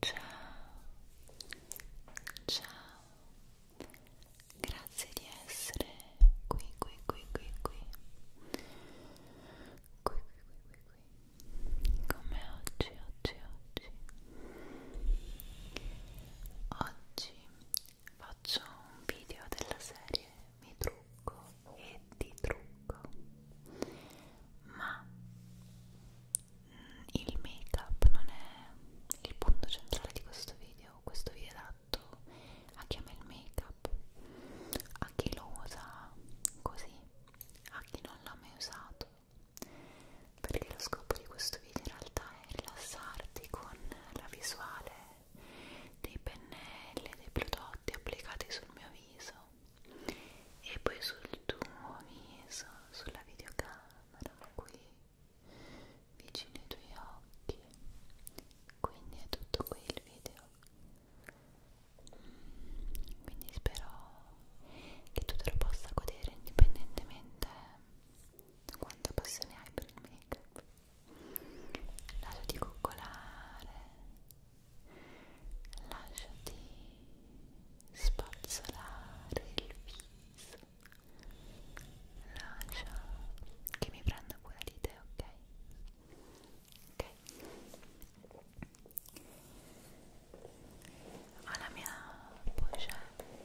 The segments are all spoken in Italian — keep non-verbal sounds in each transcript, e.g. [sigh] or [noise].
ciao, ciao, grazie di essere qui, qui, qui, qui, qui, qui, qui, qui, qui, come oggi, oggi, oggi, oggi faccio un video della serie Mi trucco e ti trucco ma il make up non è il punto centrale di questo video questo video è adatto a chi ama il make up a chi lo usa così a chi non l'ha mai usato perché lo scopo di questo video in realtà è rilassarti con la visuale dei pennelli dei prodotti applicati sul mio viso e poi sul tuo viso, sulla videocamera qui vicino ai tuoi occhi quindi è tutto qui il video mm, quindi spero che tu te lo possa godere indipendentemente da quanta passione hai per il make up lasciati coccolare lasciati spazzolare il viso lascia che mi prenda cura di te, ok? ok ho la mia pochette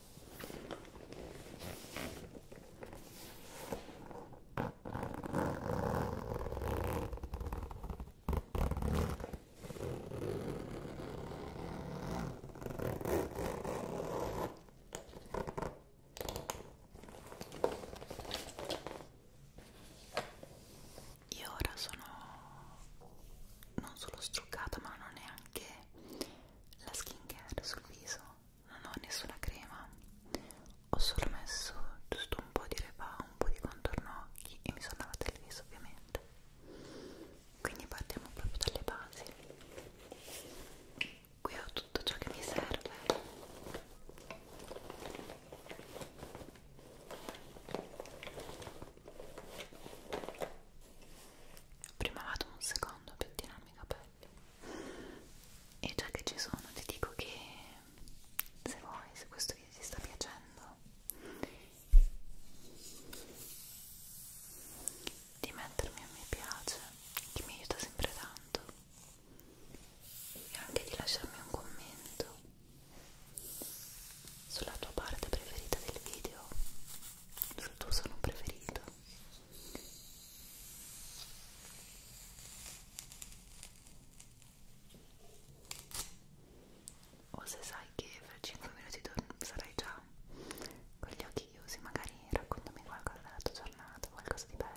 Io ora sono non solo struccata ma non neanche la skincare sul viso, non ho nessuna crema, ho solo messo giusto un po' di repa, un po' di contorno occhi e mi sono lavata il viso ovviamente. Quindi partiamo proprio dalle basi. Qui ho tutto ciò che mi serve. Prima vado un secondo secondo per tirarmi i capelli e già che ci sono ti dico che se vuoi, se questo video ti sta piacendo di mettermi a mi piace che mi aiuta sempre tanto e anche di lasciarmi un commento sulla tua parte preferita del video sul tuo suono preferito o se sai che fra 5 minuti sarai già con gli occhi chiusi magari raccontami qualcosa della tua giornata qualcosa di bello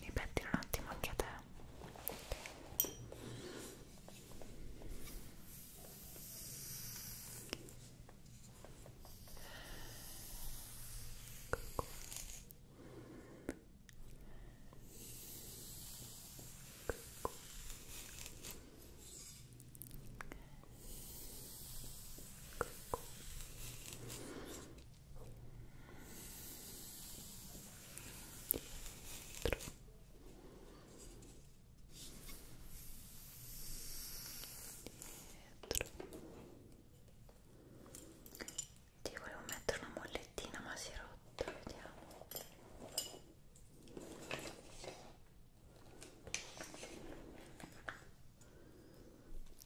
ripettilo un attimo anche a te Cucù. dietro ti volevo mettere una mollettina ma si è rotta vediamo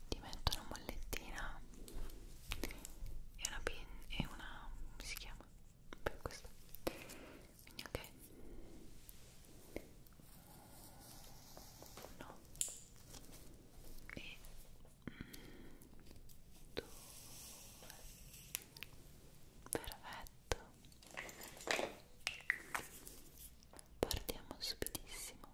ti metto una mollettina e una pin e una come si chiama per questo quindi ok no e mm, due perfetto partiamo subitissimo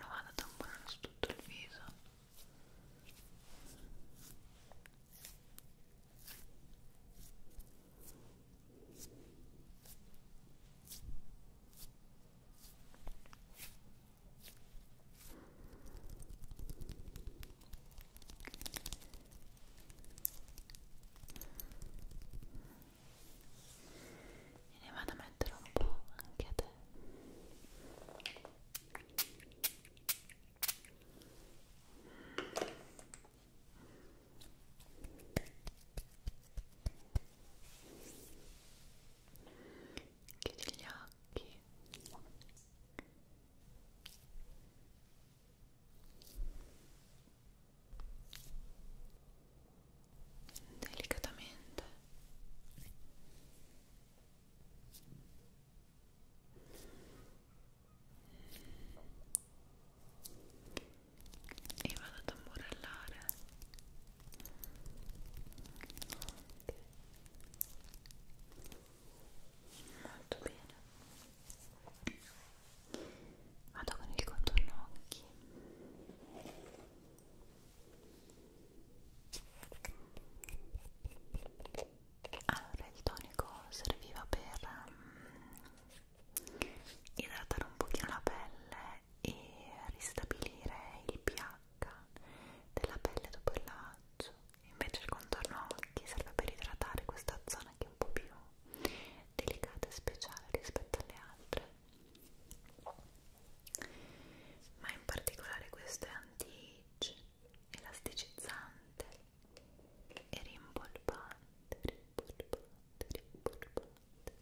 lo vado a tamponare su tutto il viso e ne vado a mettere un po' anche a te chiudi gli occhi e delicatamente e vado ad tamburellare molto bene vado con il contorno occhi allora il tonico serviva per um, idratare un pochino la pelle e ristabilire il pH della pelle dopo il lavaggio invece il contorno occhi serve per idratare questa zona che è un po' più delicata e speciale rispetto alle altre ma in particolare questo è anti-age, elasticizzante e rimpolpante, rimpolpante, rimpolpante.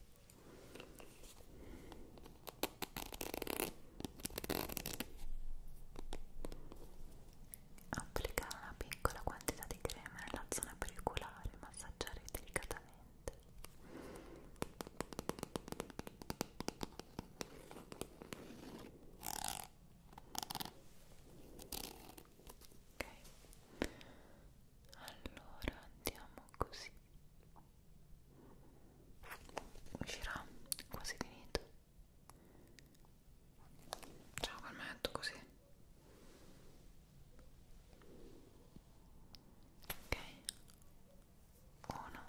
Applica una piccola quantità di crema nella zona pericolare, massaggiare delicatamente ok allora andiamo così uscirà quasi finito ciao calmetto così ok uno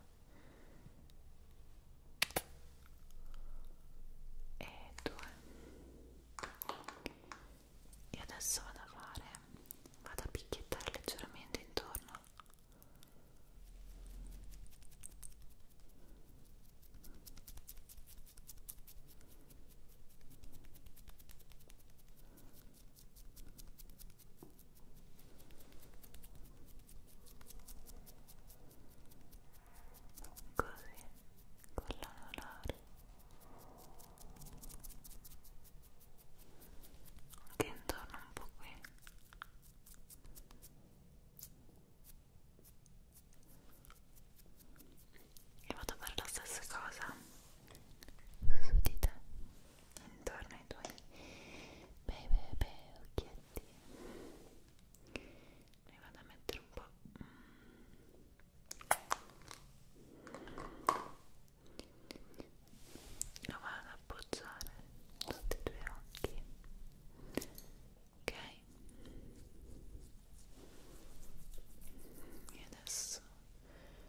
e due e adesso vado a fare vado a picchiettare leggermente intorno ok così con la dolore Que intorno un poco eh, e vado a fare la stessa cosa su di te intorno ai tuoi bei bei bei occhietti ne vado a mettere un po' lo vado ad appoggiare tutti i tuoi occhi ok e adesso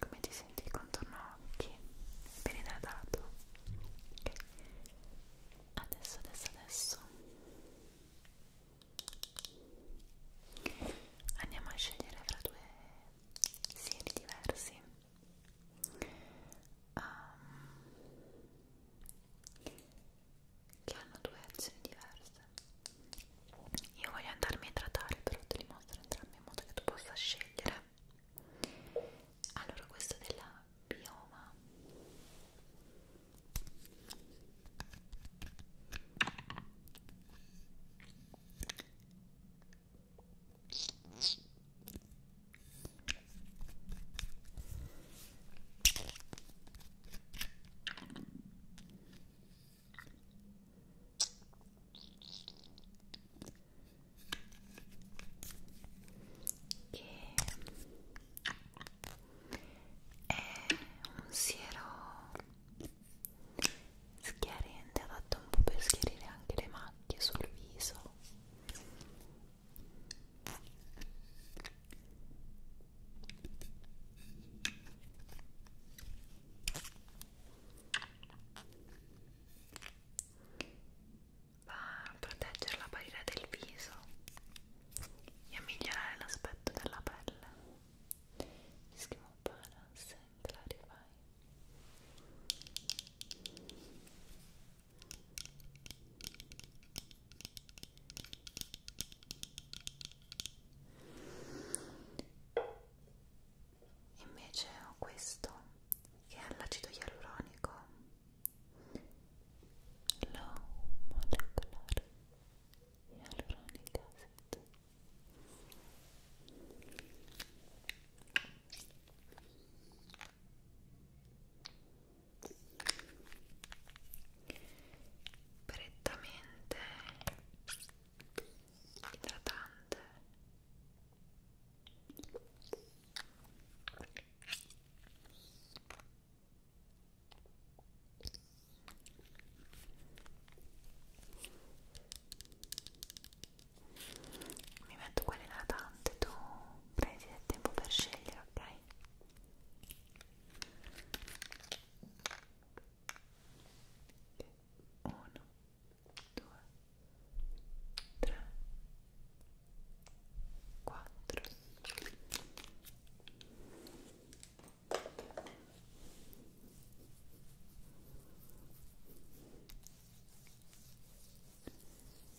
Come ti senti il contorno occhi? Ben idratato? Ok. Adesso, adesso, adesso andiamo a scegliere fra due sieri diversi um, che hanno due azioni diverse io voglio andarmi a idratare però te li mostro entrambi in modo che tu possa scegliere allora questo della bioma che è un siero schiarente adatto un po' per schiarire anche le macchie sul viso va a proteggere la barriera del viso e a migliorare l'aspetto della pelle Schimo Balance and Clarify Invece ho questo che è all'acido ialuronico low molecular ialuronic acid prettamente idratante mi metto quelle idratanti tu prendi del tempo per scegliere ok uno due tre quattro Cinque,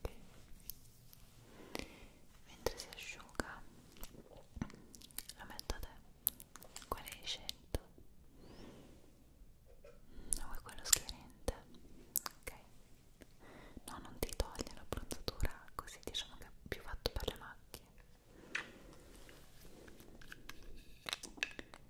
Okay. Mentre si asciuga la metto a te. Quale hai scelto? No, è quello schiarente. Ok. No, non ti toglie l'abbronzatura, così diciamo che è più fatto per le macchie.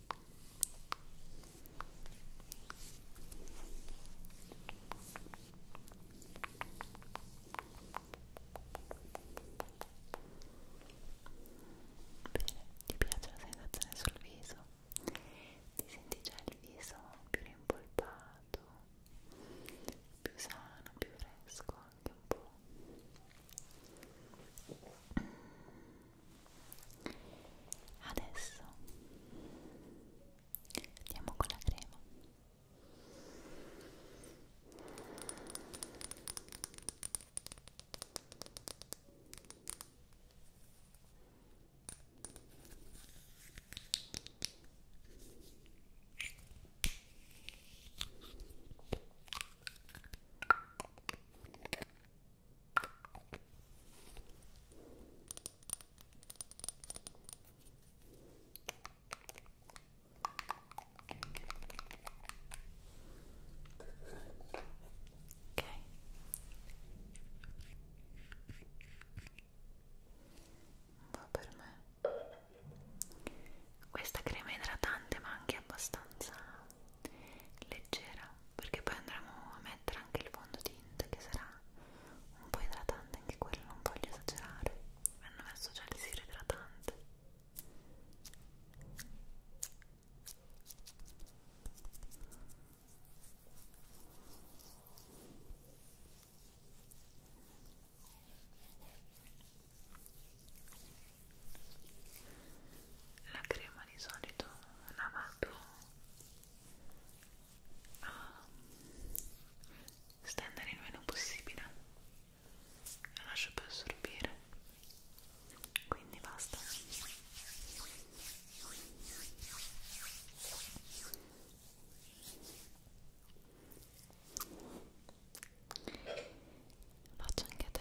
ti piace la sensazione sul viso? Ti senti già il viso più rimpolpato, più sano, più fresco anche un po' adesso andiamo con la crema Ok. Va per me. Questa crema è idratante ma anche abbastanza leggera perché poi andremo a mettere anche il fondotinta che sarà un po' idratante anche quello non voglio esagerare mi hanno messo già il siro idratante la crema di solito la vado a um, stendere il meno possibile la lascio per assorbire quindi basta Faccio anche a te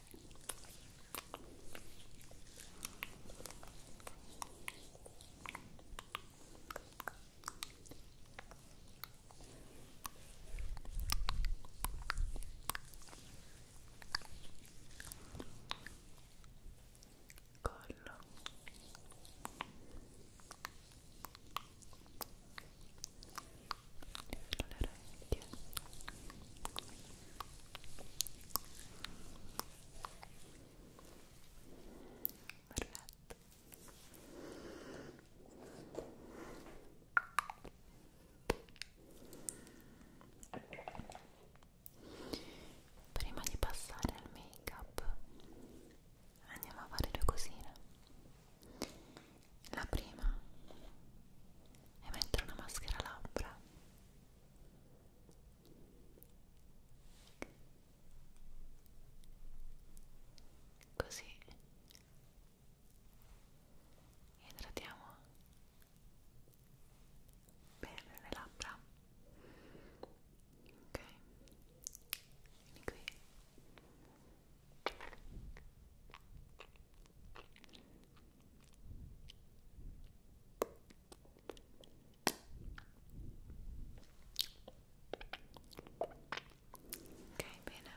collo le orecchie perfetto prima di passare al make up andiamo a fare due cosine la prima è mettere una maschera labbra così idratiamo bene le labbra ok vieni qui Ok, bene.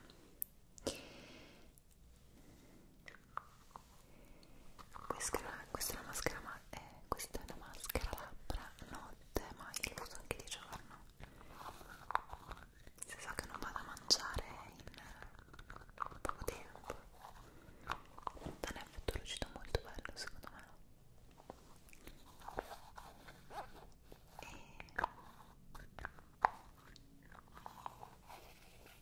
Questa, questa è una maschera, ma eh, questa è una maschera labbra notte, ma io lo uso anche di giorno. Se so che non vado a mangiare in eh, poco tempo da un effetto lucido molto bello secondo me e...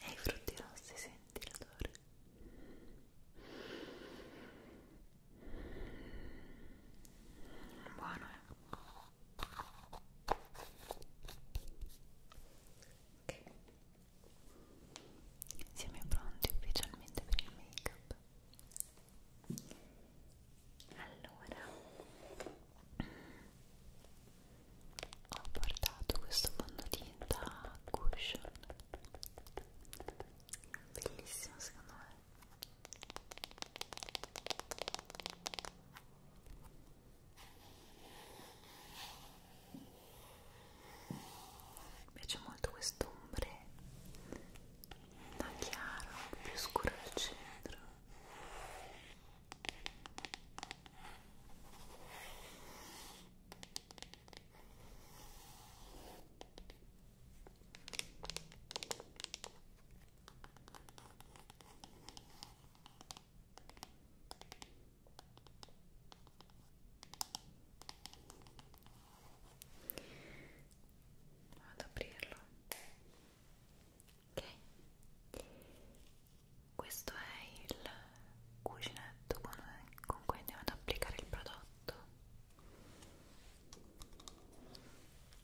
e i frutti rossi senti l'odore buono eh Ok, siamo pronti ufficialmente per il make up. Allora, ho portato questo fondotinta cushion, bellissimo secondo me mi piace molto questo ombre da chiaro, più scuro al centro. Vado ad aprirlo. Ok. Questo è il cucinetto con, con cui andiamo ad applicare il prodotto.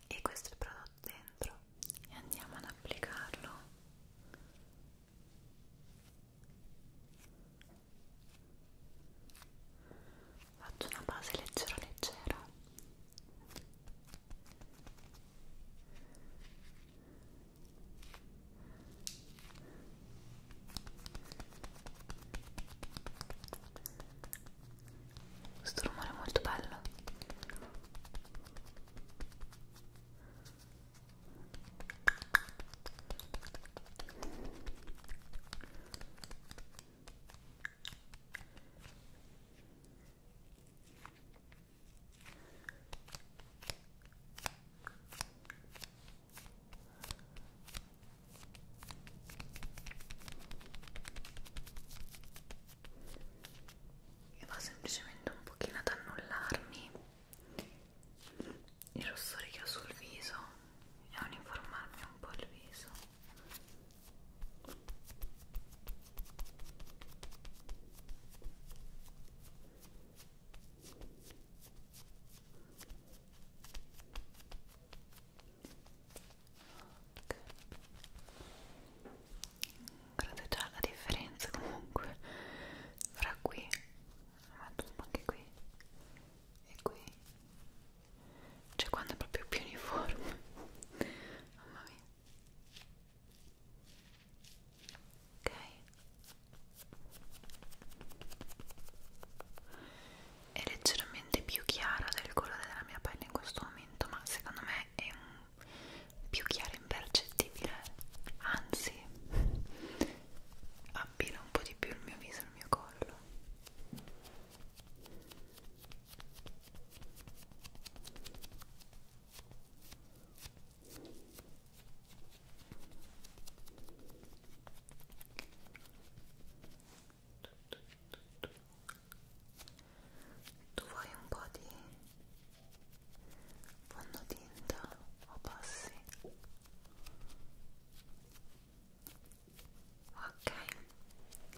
E questo è il prodotto dentro e andiamo ad applicarlo faccio una base leggera leggera questo rumore è molto bello e va semplicemente un pochino ad annullarmi i rossori che ho sul viso e a uniformarmi un po' il viso Okay guardate già la differenza comunque fra qui metto un po' anche qui e qui cioè quando è proprio più uniforme [laughs] mamma mia ok è leggermente più chiara del colore della mia pelle in questo momento ma secondo me è un più chiara e impercettibile, anzi abbina un po' di più il mio viso e il mio collo tu vuoi un po' di fondo tinta o passi? ok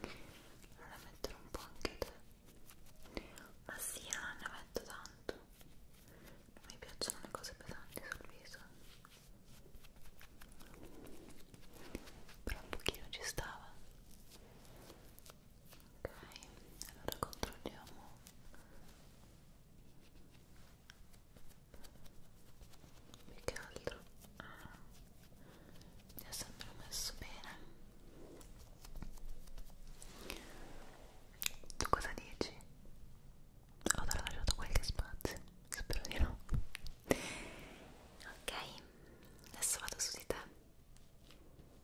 allora metterò un po' anche te ma sì, non ah, ne metto tanto non mi piacciono le cose pesanti sul viso però un pochino ci stava ok allora controlliamo più che altro ah, mi ha sempre messo bene tu cosa dici? ho lasciato qualche spazio spero di no ok adesso vado su di te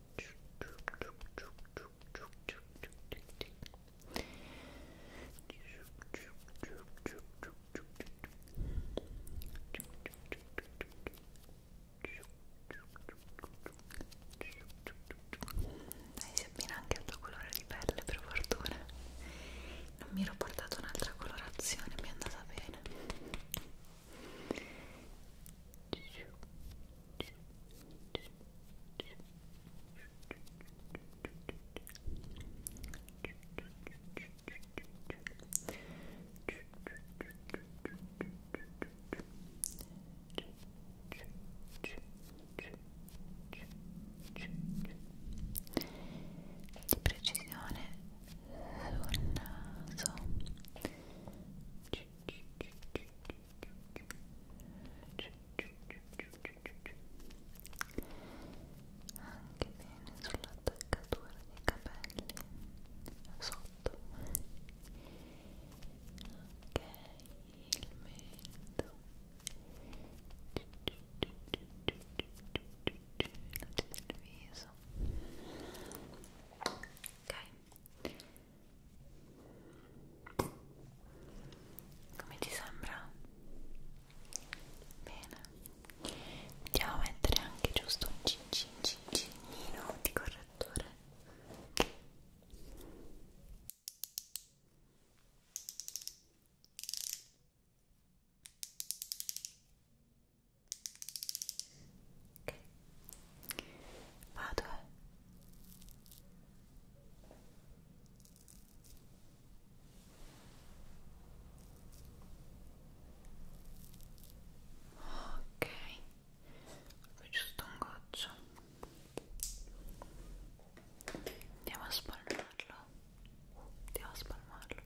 Dai, si abbina anche al tuo colore di pelle, per fortuna. Non mi ero portato un'altra colorazione, mi è andata bene di precisione sul naso anche bene sull'attaccatura dei capelli sotto ok il mento Come ti sembra? Bene. Andiamo a mettere anche giusto un cin cin cin cinino di correttore. Ok, vado eh. Ok, poi giusto un goccio. Andiamo a spalmarlo. Andiamo a spalmarlo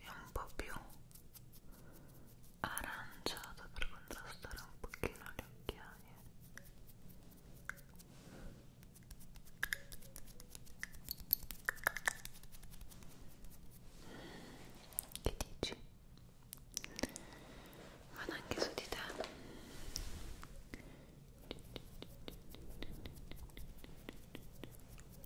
e un po' più aranciato per contrastare un pochino le occhiaie che dici? vado anche su di te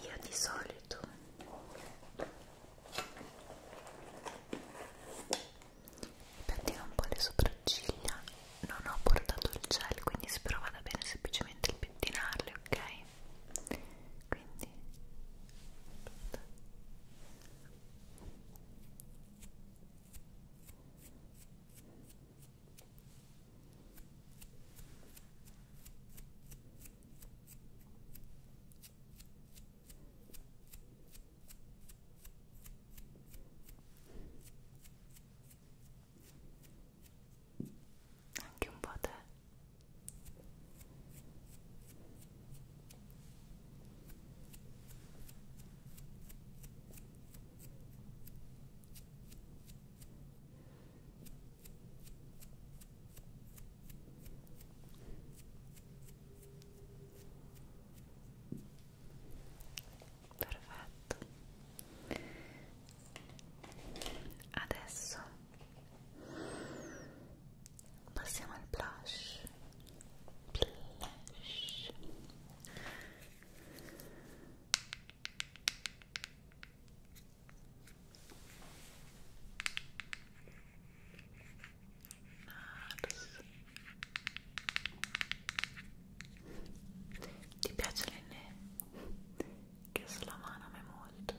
io di solito pettino un po' le sopracciglia non ho portato il gel quindi spero vada bene semplicemente il pettinarle ok quindi Aspetta. Anche un po' te. Perfetto. Adesso passiamo al blush. Blush. Nars. Ti piace l'enne? Che sulla mano a me molto.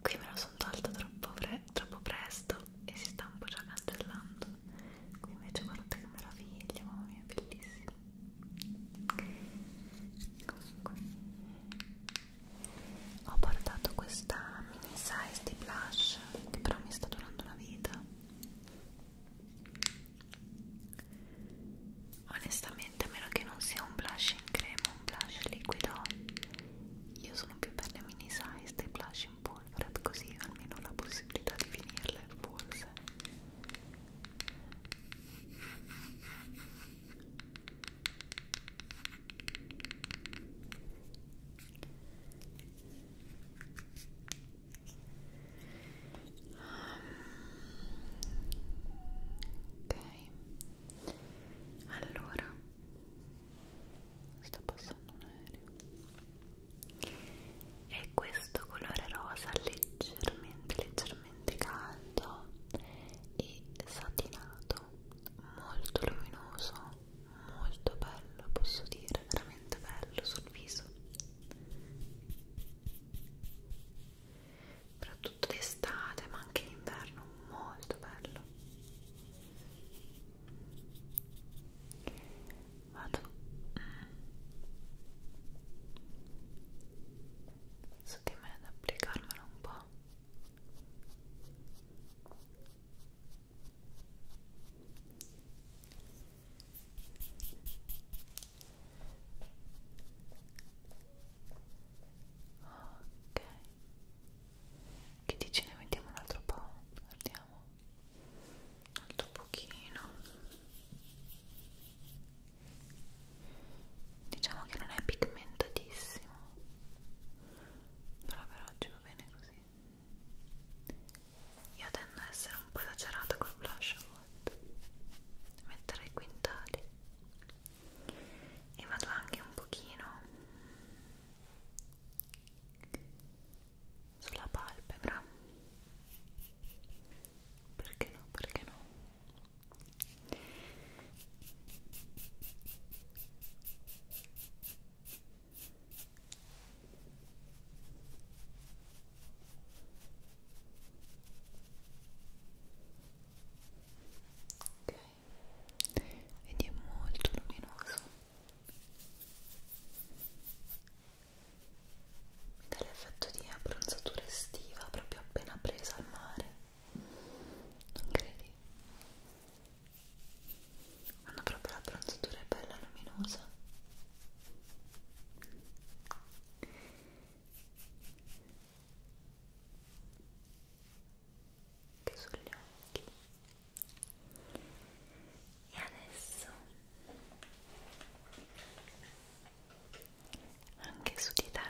Qui me lo sono tolto troppo, pre troppo presto e si sta un po' già castellando. Qui invece guardate che meraviglia, mamma mia, bellissimo comunque ho portato questa mini size di blush che però mi sta durando una vita onestamente a meno che non sia un blush in crema un blush liquido io sono più per le mini size dei blush in polvere così almeno ho la possibilità di finirle forse Ok, allora sta passando un aereo è questo colore rosa leggermente leggermente caldo e satinato molto luminoso molto bello posso dire veramente bello sul viso soprattutto d'estate ma anche in inverno molto bello vado su di me ad applicarmelo un po' ok che dici ne mettiamo un altro po' guardiamo un altro pochino diciamo che non è pigmentatissimo però per oggi va bene così io tendo a essere un po' esagerata col blush a volte mettere i quintali e vado anche un pochino sulla palpebra perché no, perché no ok ed è molto luminoso dell'effetto di abbronzatura estiva proprio appena presa al mare non credi? hanno proprio la bronzatura bella luminosa che sugli occhi e adesso anche su di te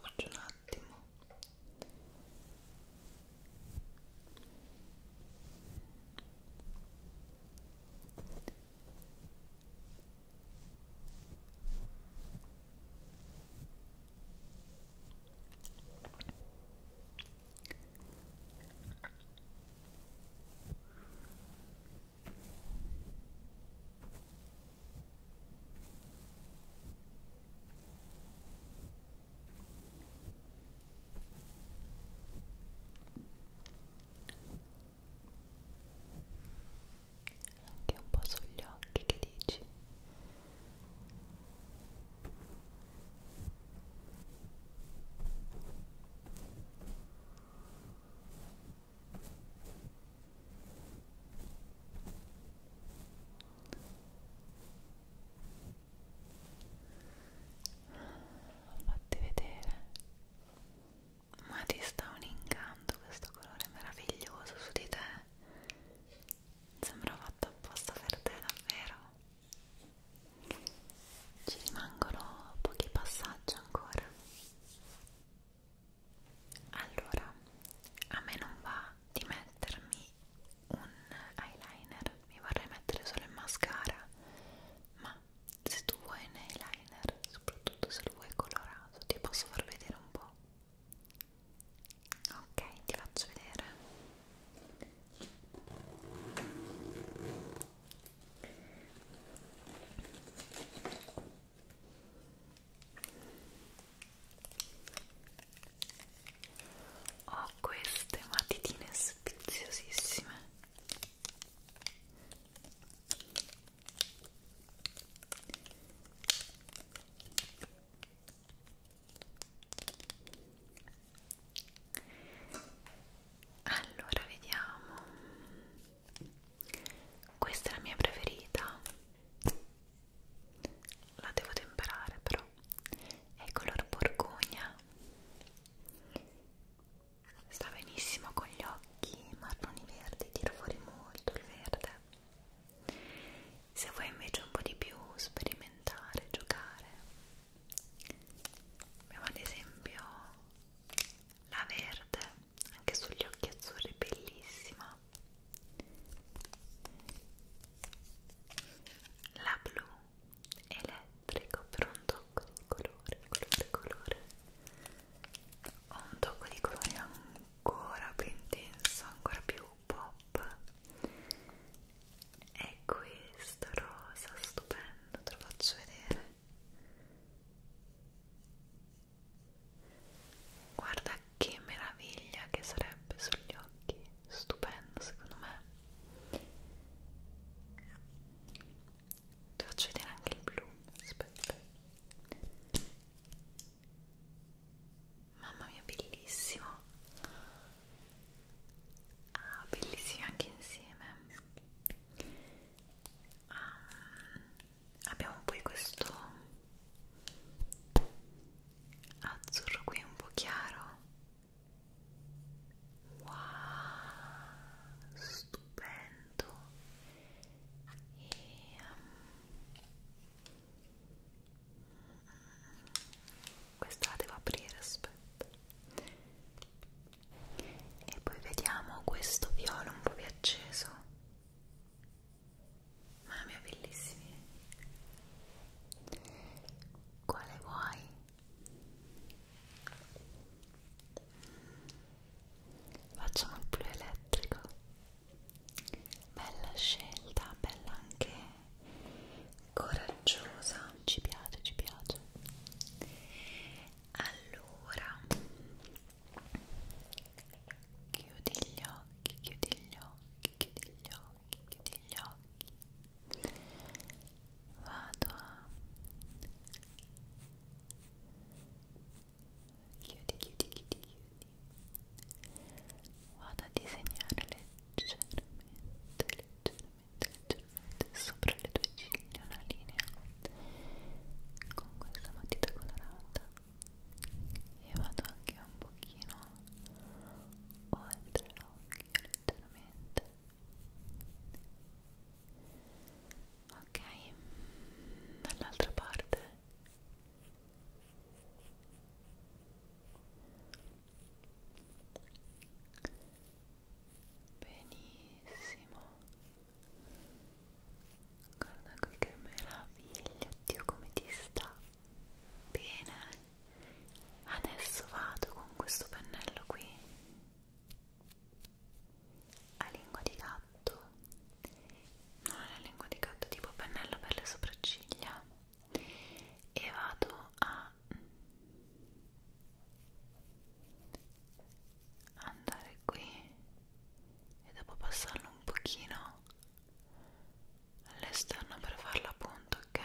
faccio un attimo Ecco. Anche un po' sugli occhi che dici Fatti vedere. Ma ti sta un incanto questo colore meraviglioso su di te. Sembra fatto apposta per te davvero ci rimangono pochi passaggi ancora allora a me non va di mettermi un eyeliner mi vorrei mettere solo il mascara ma se tu vuoi un eyeliner soprattutto se lo vuoi colorato ti posso far vedere un po' ok ti faccio vedere ho queste matitine speziosissime allora vediamo questa è la mia preferita la devo temperare però è color borgogna sta benissimo con gli occhi marroni verdi tiro fuori molto il verde se vuoi invece un po' di più sperimentare, giocare abbiamo ad esempio la verde anche sugli occhi azzurri bellissima la blu elettrico per un tocco di colore colore colore ho un tocco di colore ancora più intenso ancora più pop è questo rosa stupendo te lo faccio vedere guarda che meraviglia che sarebbe sugli occhi stupendo secondo me ti faccio vedere anche il blu aspetta Mamma mia, bellissimo. Ah, bellissimi anche insieme. Um, abbiamo poi questo azzurro qui un po' chiaro. Wow, stupendo. E, um, questa la devo aprire aspetta e poi vediamo questo viola un po' più acceso mamma mia bellissimi quale vuoi? facciamo il blu elettrico bella scelta bella anche coraggiosa ci piace ci piace allora chiudi gli occhi chiudi gli occhi chiudi gli occhi chiudi gli occhi vado a chiudi chiudi chiudi chiudi vado a disegnare le leggermente, leggermente, sopra le tue ciglia una linea con questa matita colorata e vado anche un pochino oltre l'occhio leggermente ok dall'altra parte Benissimo. Guarda qui che meraviglia, Dio come ti sta. Bene. Adesso vado con questo pennello qui a lingua di gatto. Non è la lingua di gatto, tipo pennello per le sopracciglia e vado a andare qui e dopo passarlo un pochino all'esterno per farla appunto ok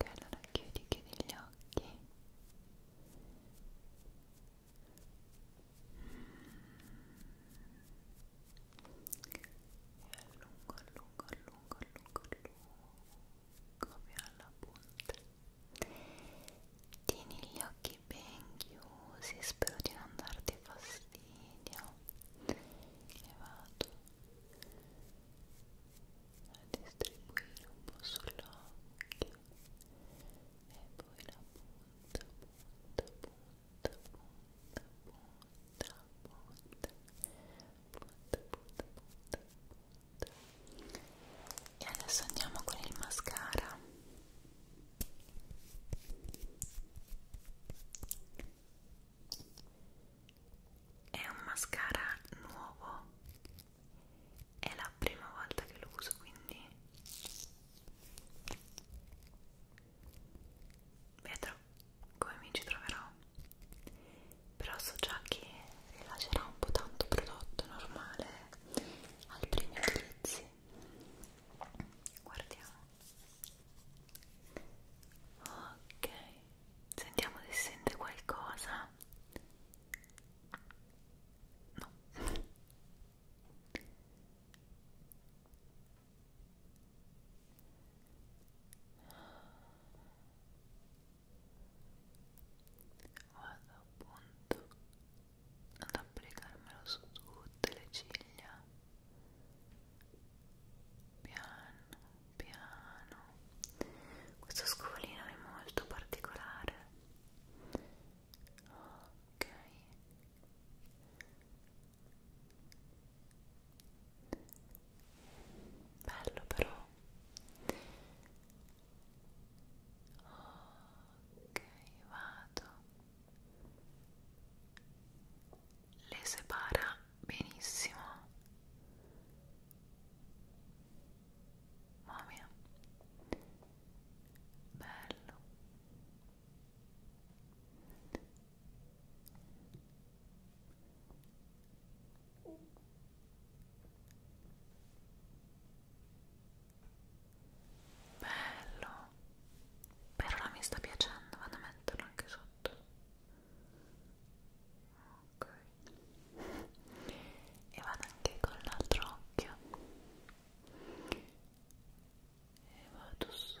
ok allora chiudi chiudi gli occhi mm e allungo, allungo, allungo, allungo, allungo fino alla punta tieni gli occhi ben chiusi spero di non darti fastidio e vado a distribuire un po' sull'occhio e poi la punta, punta, punta punta e adesso andiamo con il mascara è un mascara nuovo è la prima volta che lo uso quindi vedrò come mi ci troverò però so già che rilascerà un po' tanto prodotto normale al primo utilizzo guardiamo ok sentiamo se sente qualcosa no vado appunto ad applicarmelo su tutte le ciglia piano piano questo scovolino è molto particolare ok bello però ok vado le separa benissimo mamma mia bello bello però mi sta piacendo vado a metterlo anche sotto ok e vado anche con l'altro occhio e vado su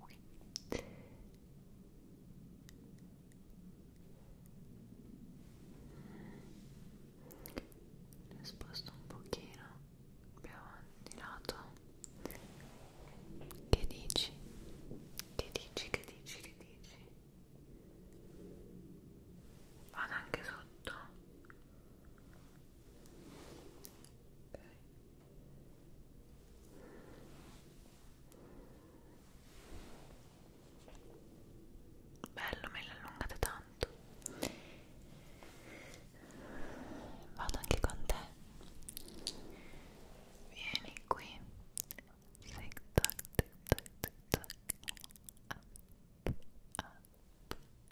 Ok. Le sposto un pochino più avanti lato. Che dici? Che dici? Che dici? Che dici? Vado anche sotto. Bello, me l'allungate tanto. Vado anche con te. Vieni qui. Zig zag, zig zag, zig zag. Up, up,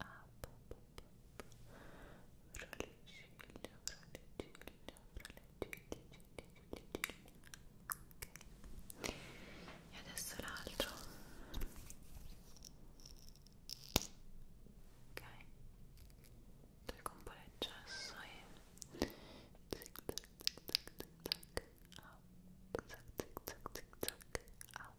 up, fralicello, fralicello, fralicello, ok e adesso l'altro ok tolgo un po' l'eccesso e tic tac tic tac tic tac up, tic tac tic tac up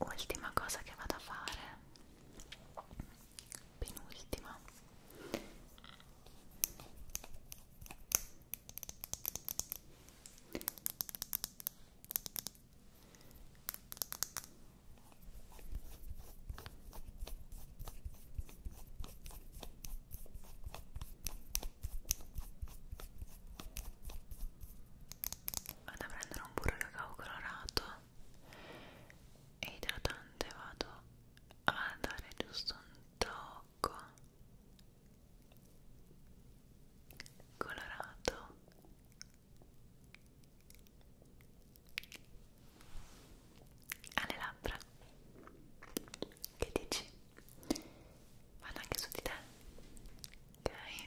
ultima cosa che vado a fare penultima vado a prendere un burro di cacao colorato e idratante vado a dare giusto un tocco colorato alle labbra che dici? Vado anche su di te ok?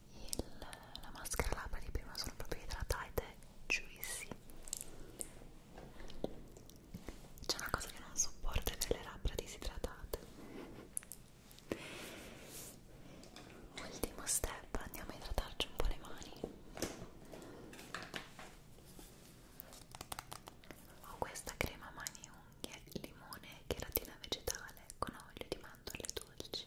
il, la maschera labbra di prima sono proprio idratate juicy c'è una cosa che non sopporto è delle labbra disidratate ultimo step andiamo a idratarci un po' le mani ho questa crema mani unghie, limone e cheratina vegetale con olio di mandorle dolci.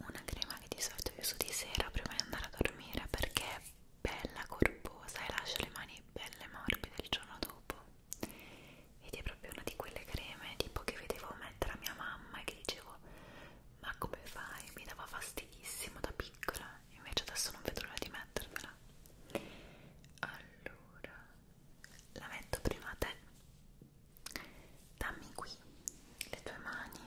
una crema che di solito io uso di sera prima di andare a dormire perché è bella corposa e lascia le mani belle morbide il giorno dopo ed è proprio una di quelle creme tipo che vedevo mettere a mia mamma e che dicevo ma come fai? mi dava fastidissimo da piccola invece adesso non vedo l'ora di mettermela allora la metto prima a te dammi qui le tue mani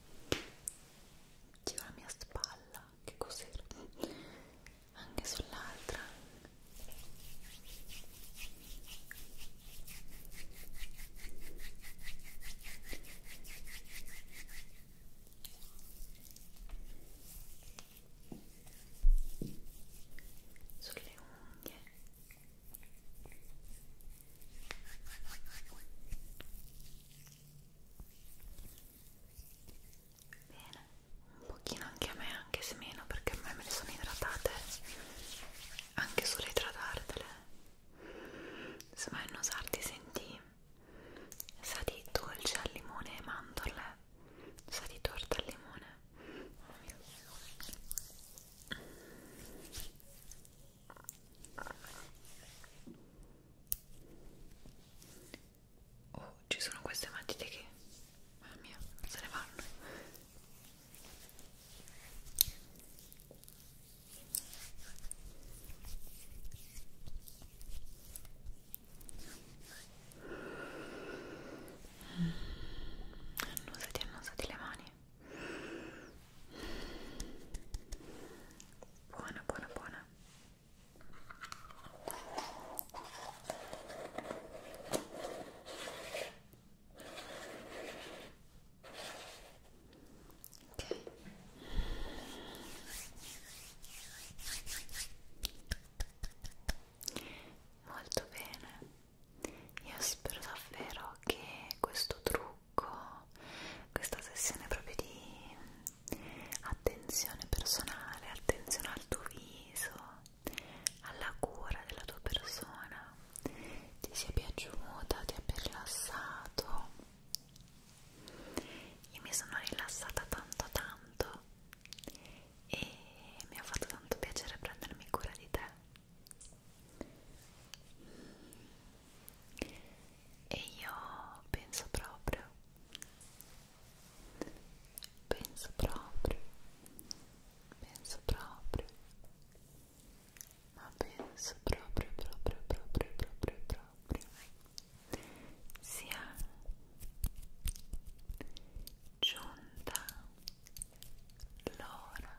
giro la mia spalla che cos'era anche sull'altra sulle unghie Bene, un pochino anche a me, anche se meno, perché a me me le sono idratate anche solo idratartele. Se vai a nosarti senti sa di dolce al limone e mandorle, sa di torta al limone. Oh, ci sono queste matite che, mamma mia, se ne vanno. Mm. Annusati, annusati le mani buona buona buona ok molto bene io spero davvero che questo trucco blocco, questa sessione proprio di attenzione personale, attenzione al tuo viso, alla cura della tua persona, ti sia piaciuta, ti abbia rilassato. Io mi sono rilassata tanto tanto e mi ha fatto tanto piacere prendermi cura di te e io penso proprio penso proprio penso proprio ma penso proprio proprio proprio proprio proprio sia giunta l'ora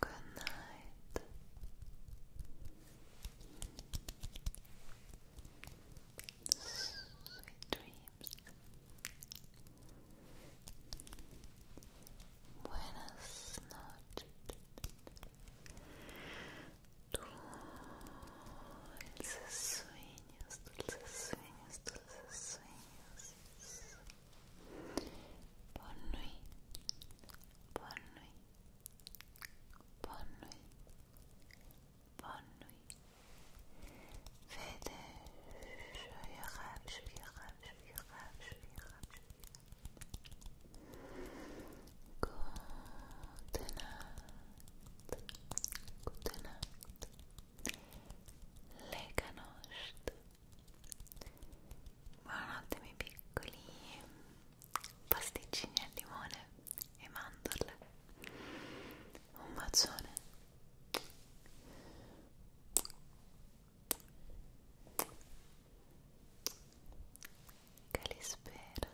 Good night. Sweet dreams. Buenas noches. Dulces sueños, dulces sueños, dulces sueños. Bonne nuit, bonne nuit, bonne nuit, bonne nuit. Vede, joyeux joyeux Good night. Good night. le canosce buonanotte miei piccoli pasticcini al limone e mandorle un bacione che li spera